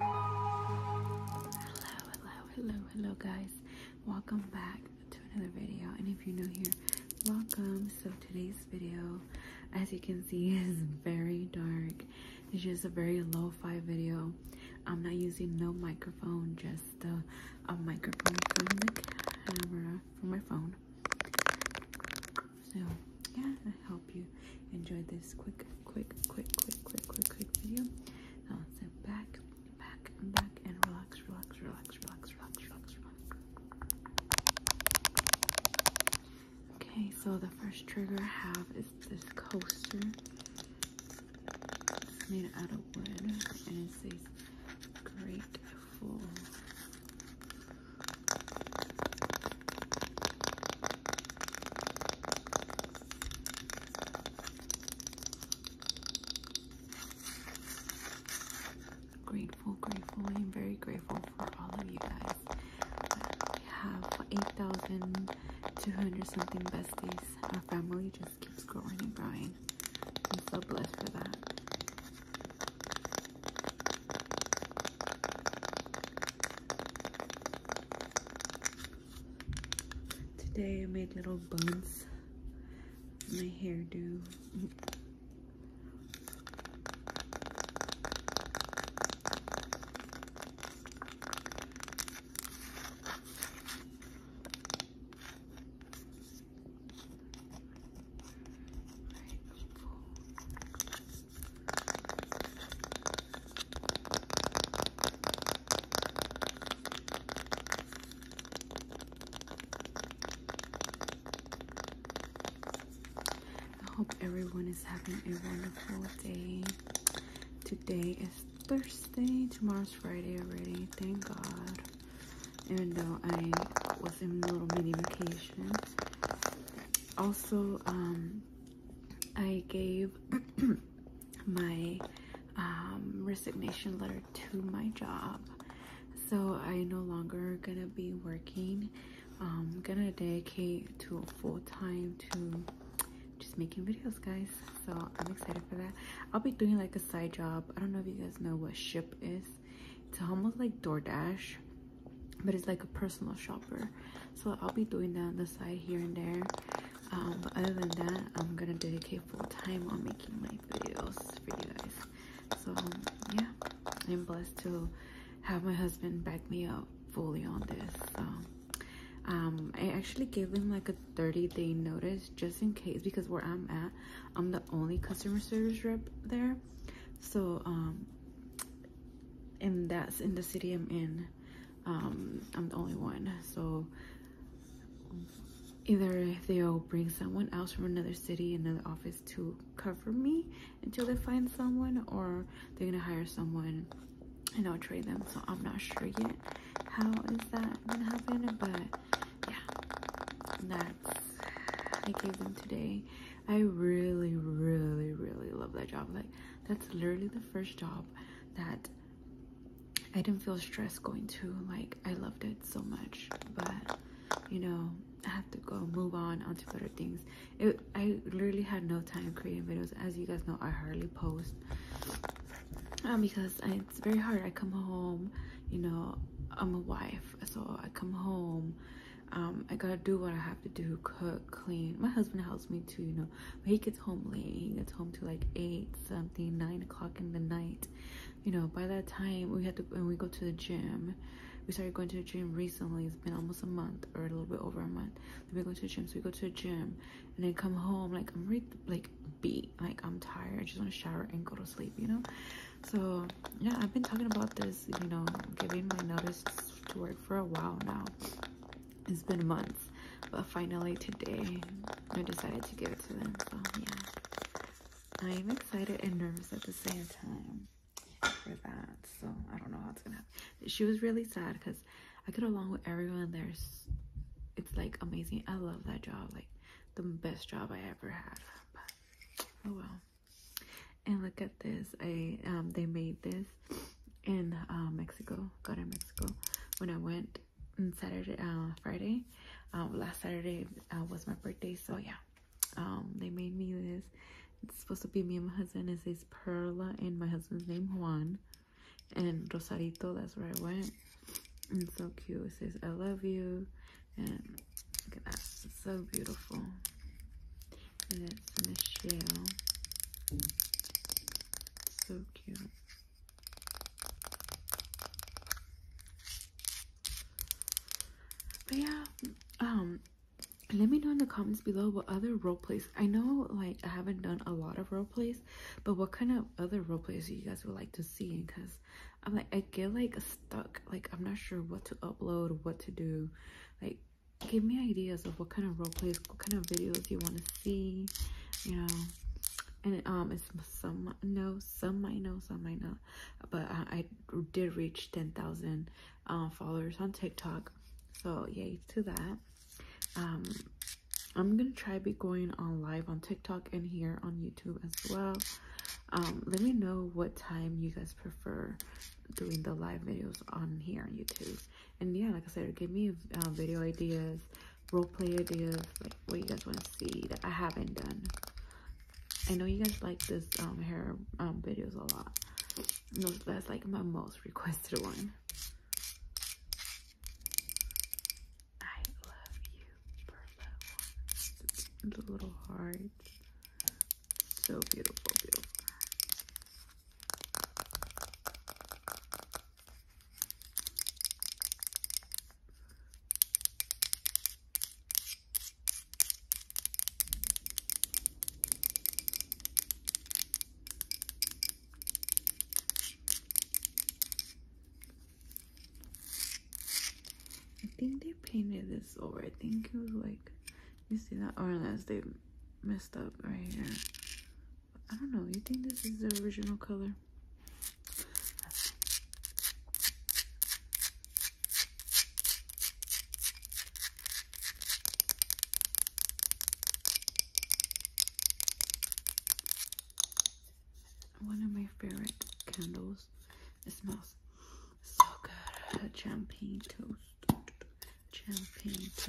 Hello, hello, hello, hello, guys. Welcome back to another video. And if you're new here, welcome. So, today's video, as you can see, is very dark. It's just a very low fi video. I'm not using no microphone, just a microphone from the camera, from my phone so yeah i hope you enjoyed this quick quick quick quick quick quick quick video now sit back back and back and relax relax relax relax relax relax relax okay so the first trigger i have is this coaster it's made out of wood and it says grateful Grateful, grateful. I am very grateful for all of you guys. I have 8,200 something besties. Our family just keeps growing growing. I'm so blessed for that. Today I made little buns my hairdo. Right, I hope everyone is having a wonderful day. Today is Thursday, tomorrow's Friday already, thank God. Even though I was in a little mini vacation, also um, I gave my um, resignation letter to my job so I no longer gonna be working I'm um, gonna dedicate to full-time to just making videos guys so I'm excited for that I'll be doing like a side job I don't know if you guys know what ship is it's almost like DoorDash but it's like a personal shopper so i'll be doing that on the side here and there um, but other than that i'm gonna dedicate full time on making my videos for you guys so yeah i'm blessed to have my husband back me up fully on this um, i actually gave him like a 30 day notice just in case because where i'm at i'm the only customer service rep there so um, and that's in the city I'm in. Um, I'm the only one. So either they'll bring someone else from another city, another office to cover me until they find someone, or they're gonna hire someone and I'll trade them. So I'm not sure yet how is that gonna happen, but yeah, that's I gave them today. I really, really, really love that job. Like, that's literally the first job that I didn't feel stressed going to. Like, I loved it so much. But, you know, I have to go move on onto other things. It, I literally had no time creating videos. As you guys know, I hardly post. Um, because it's very hard. I come home, you know, I'm a wife. So I come home um, I gotta do what I have to do, cook, clean. My husband helps me too, you know. But he gets home late. He gets home to like eight something, nine o'clock in the night. You know, by that time we had to When we go to the gym. We started going to the gym recently. It's been almost a month or a little bit over a month. we go to the gym, so we go to the gym and then come home like I'm really like beat, like I'm tired. I just want to shower and go to sleep, you know. So yeah, I've been talking about this, you know, giving my notice to work for a while now. It's been a month, but finally today I decided to give it to them. So yeah, I'm excited and nervous at the same time for that. So I don't know how it's gonna happen. She was really sad because I get along with everyone. There's, it's like amazing. I love that job, like the best job I ever had. oh well. And look at this. I um they made this in uh, Mexico. Got in Mexico when I went on Saturday, uh, Friday. Uh, last Saturday was my birthday, so yeah. Um, they made me this. It's supposed to be me and my husband. It says Perla and my husband's name Juan, and Rosarito. That's where I went. And so cute. It says I love you, and Look at that. so beautiful. And it's Michelle. So cute. But yeah, um, let me know in the comments below what other role plays. I know like I haven't done a lot of role plays, but what kind of other role plays you guys would like to see? Because I'm like I get like stuck, like I'm not sure what to upload, what to do, like give me ideas of what kind of role plays, what kind of videos you want to see, you know. And um, it's some know, some might know, some might not. But I, did reach 10,000 uh, followers on TikTok, so yay to that. Um, I'm gonna try be going on live on TikTok and here on YouTube as well. Um, let me know what time you guys prefer doing the live videos on here on YouTube. And yeah, like I said, give me uh, video ideas, role play ideas, like what you guys want to see that I haven't done. I know you guys like this um, hair um, videos a lot. No, that's like my most requested one. I love you, Perla. The little hard. So beautiful, beautiful. I think they painted this over. I think it was like you see that? orange? unless they messed up right here. I don't know. You think this is the original color? One of my favorite candles. It smells so good. Champagne toast gel paint.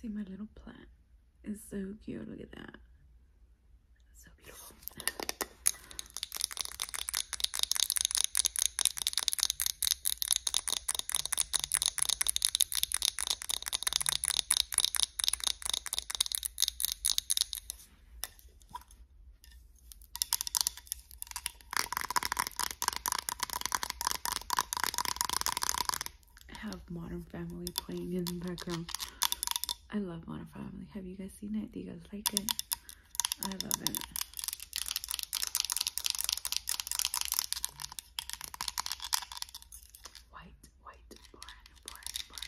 See my little plant It's so cute. Look at that. so beautiful. I have Modern Family playing in the background. I love Modern Family. Have you guys seen it? Do you guys like it? I love it. White, white, brown, brown,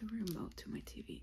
the remote to my TV.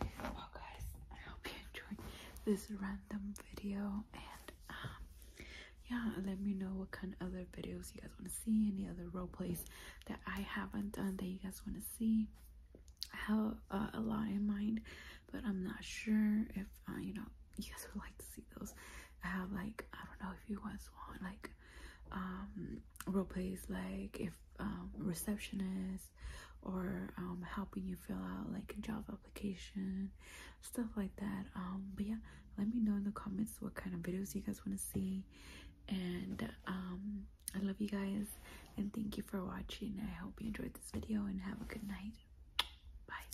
Well, guys, I hope you enjoyed this random video, and um, yeah, let me know what kind of other videos you guys want to see, any other role plays that I haven't done that you guys want to see. I have a lot in mind, but I'm not sure if uh, you know you guys would like to see those. I have like I don't know if you guys want like um role plays like if um receptionist or um helping you fill out like a job application stuff like that um but yeah let me know in the comments what kind of videos you guys want to see and um I love you guys and thank you for watching I hope you enjoyed this video and have a good night bye